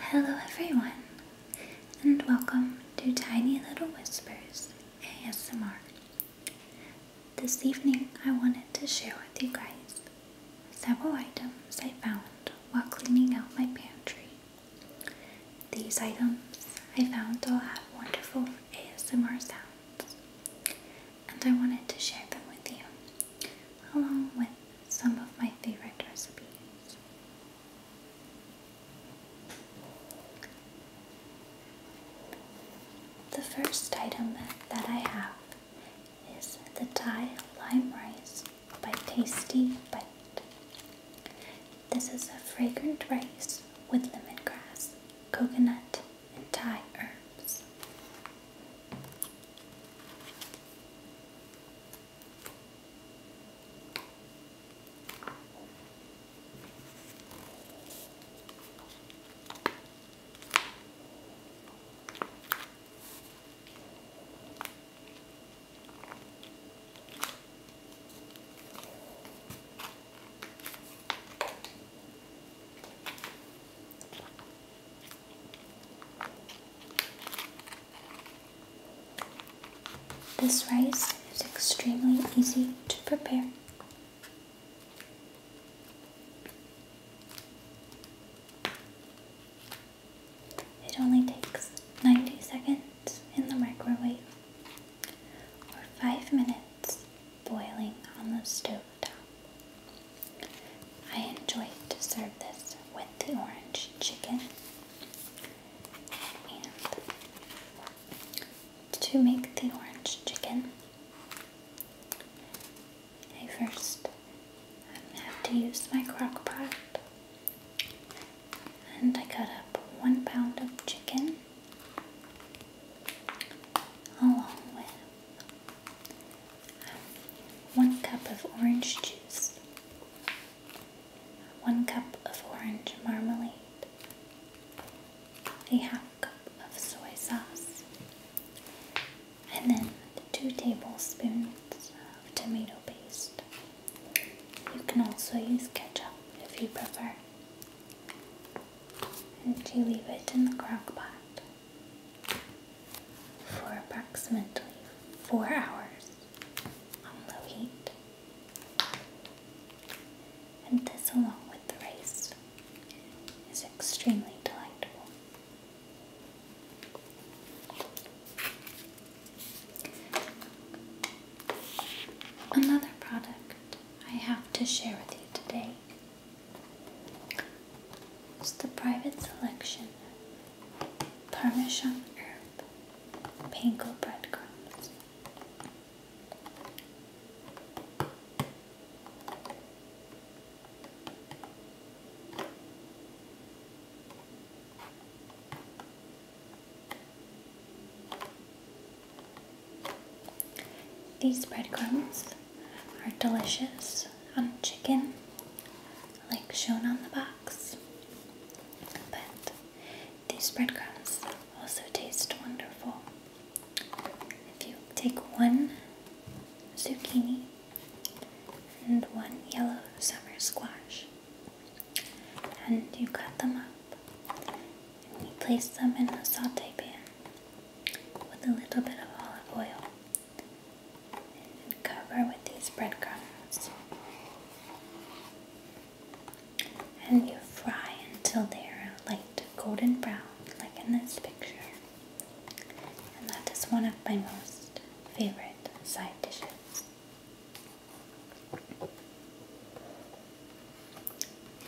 Hello, everyone, and welcome to Tiny Little Whispers ASMR. This evening, I wanted to share with you guys several items I found while cleaning out my pantry. These items I found all have wonderful ASMR sounds, and I wanted to share them with you along with some of my favorite recipes. The first item that I have is the Thai Lime Rice by Tasty Bite. This is a fragrant rice with lemongrass, coconut, and Thai herbs. This rice is extremely easy to prepare. It only takes 90 seconds in the microwave or 5 minutes boiling on the stove top. I enjoy to serve this with the orange chicken. to make the orange chicken, I first have to use my crock pot and I cut up one pound of chicken along with one cup of orange juice, one cup of orange marmalade, a half cup of soy sauce, and then two tablespoons of tomato paste. You can also use ketchup if you prefer and you leave it in the crock pot for approximately four hours on low heat. And this, along with the rice, is extremely delightful. Another product I have to share with you today. It's the private selection Parmesan herb, panko breadcrumbs. These breadcrumbs are delicious on chicken, like shown on the box. But these breadcrumbs also taste wonderful. If you take one zucchini and one yellow summer squash and you cut them up he place them in a saute pan with a little bit of olive oil and cover with these breadcrumbs. And you fry until they're a light golden brown, like in this picture. And that is one of my most favorite side dishes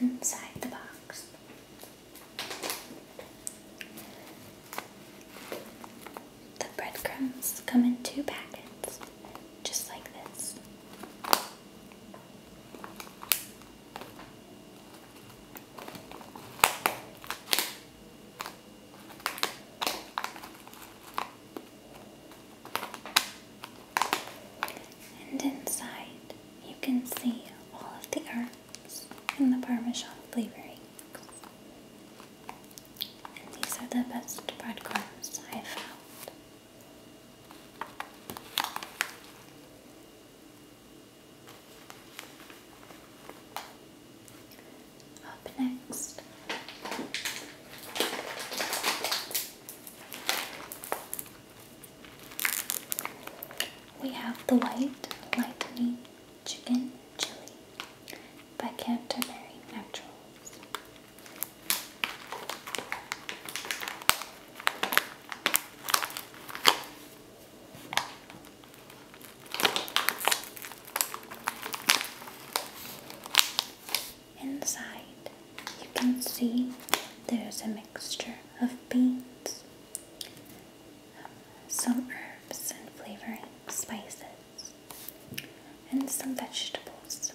inside the box. The breadcrumbs come in two packets, just like this. And inside, you can see all of the arts in the parmesan flavorings. And these are the best bread crumbs I've found. Up next we have the White Lightning Chicken Chili by Canterbury Naturals. Inside, you can see there's a mixture of beans, some herbs and flavoring spices, and some vegetables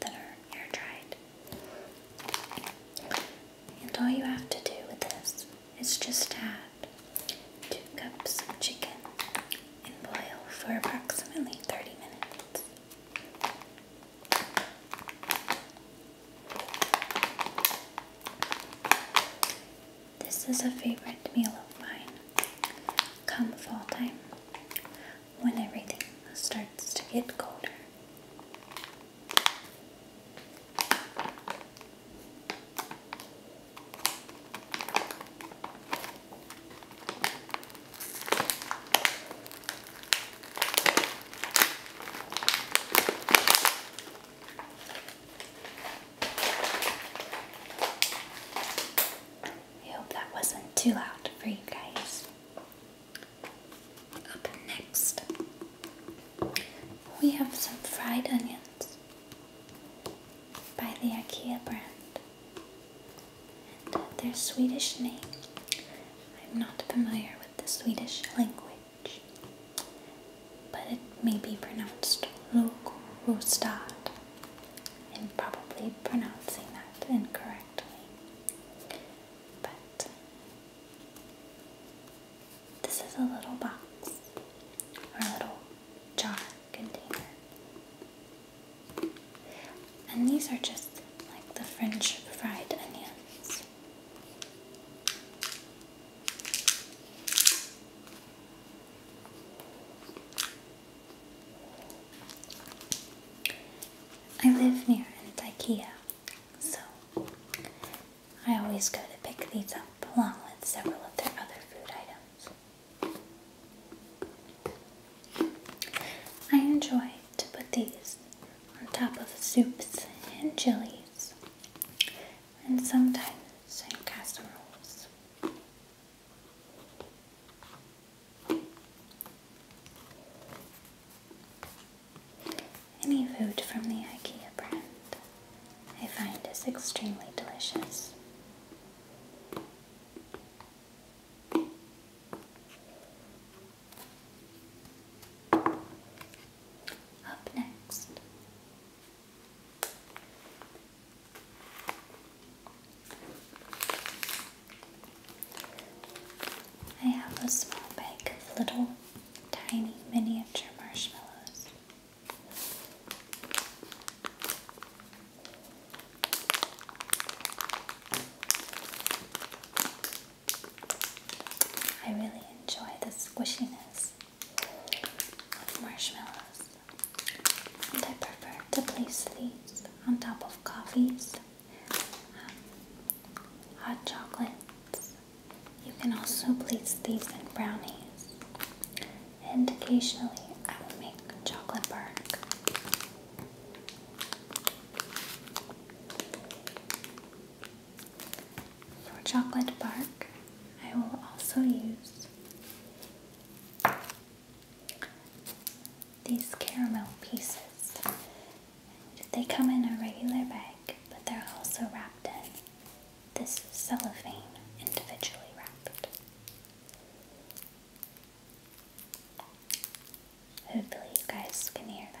that are air dried. And all you have to do with this is just add two cups of chicken and boil for approximately 30 minutes. This is a favorite meal of mine. Come fall time, when everything starts to get colder. I hope that wasn't too loud for you guys. Up next, we have some fried onions by the IKEA brand and their Swedish name. I'm not familiar with the Swedish language, but it may be pronounced Rostad. And probably pronouncing that incorrectly, but this is a little box or a little jar container and these are just like the French fried onions. I live near an IKEA, so I always go to pick these up along with several of their other food items. I enjoy to put these on top of soups and chilies and sometimes in casseroles. Any food from the IKEA brand I find is extremely delicious. Up next, I have a small bag of little tiny miniature marshmallows. I really enjoy the squishiness of marshmallows, and I prefer to place these on top of coffees, um, hot chocolates. You can also place these in brownies and occasionally I will make chocolate bark. For chocolate bark, I will also use these caramel pieces. They come in a regular bag, but they're also wrapped in this cellophane individually wrapped. Hopefully, you guys can hear that.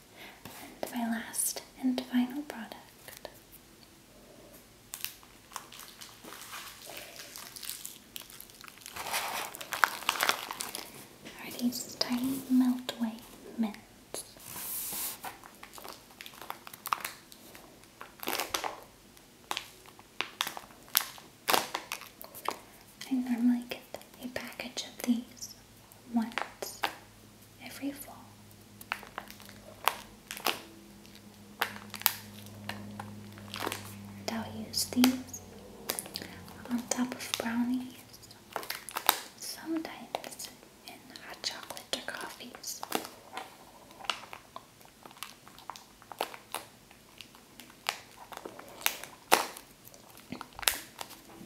And my last and final product are these tiny meltway mints. I normally get a package of these once every fall. And I'll use these on top of brownies, sometimes in hot chocolate or coffees.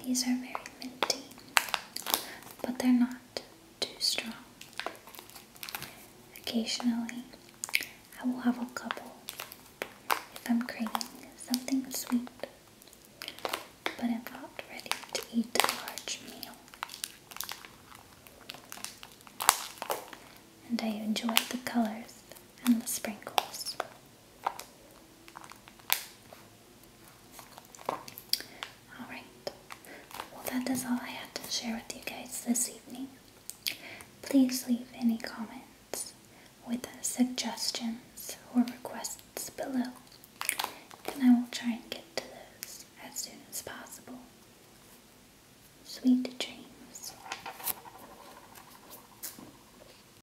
These are very minty, but they're not too strong. Occasionally, I will have a couple if I'm craving something sweet, but I'm not ready to eat a large meal. And I enjoy the colors and the sprinkles. Alright, well, that is all I have to share with you guys this evening. Please leave any comments with suggestions or requests below, and I will try and get to those as soon as possible. Sweet dreams.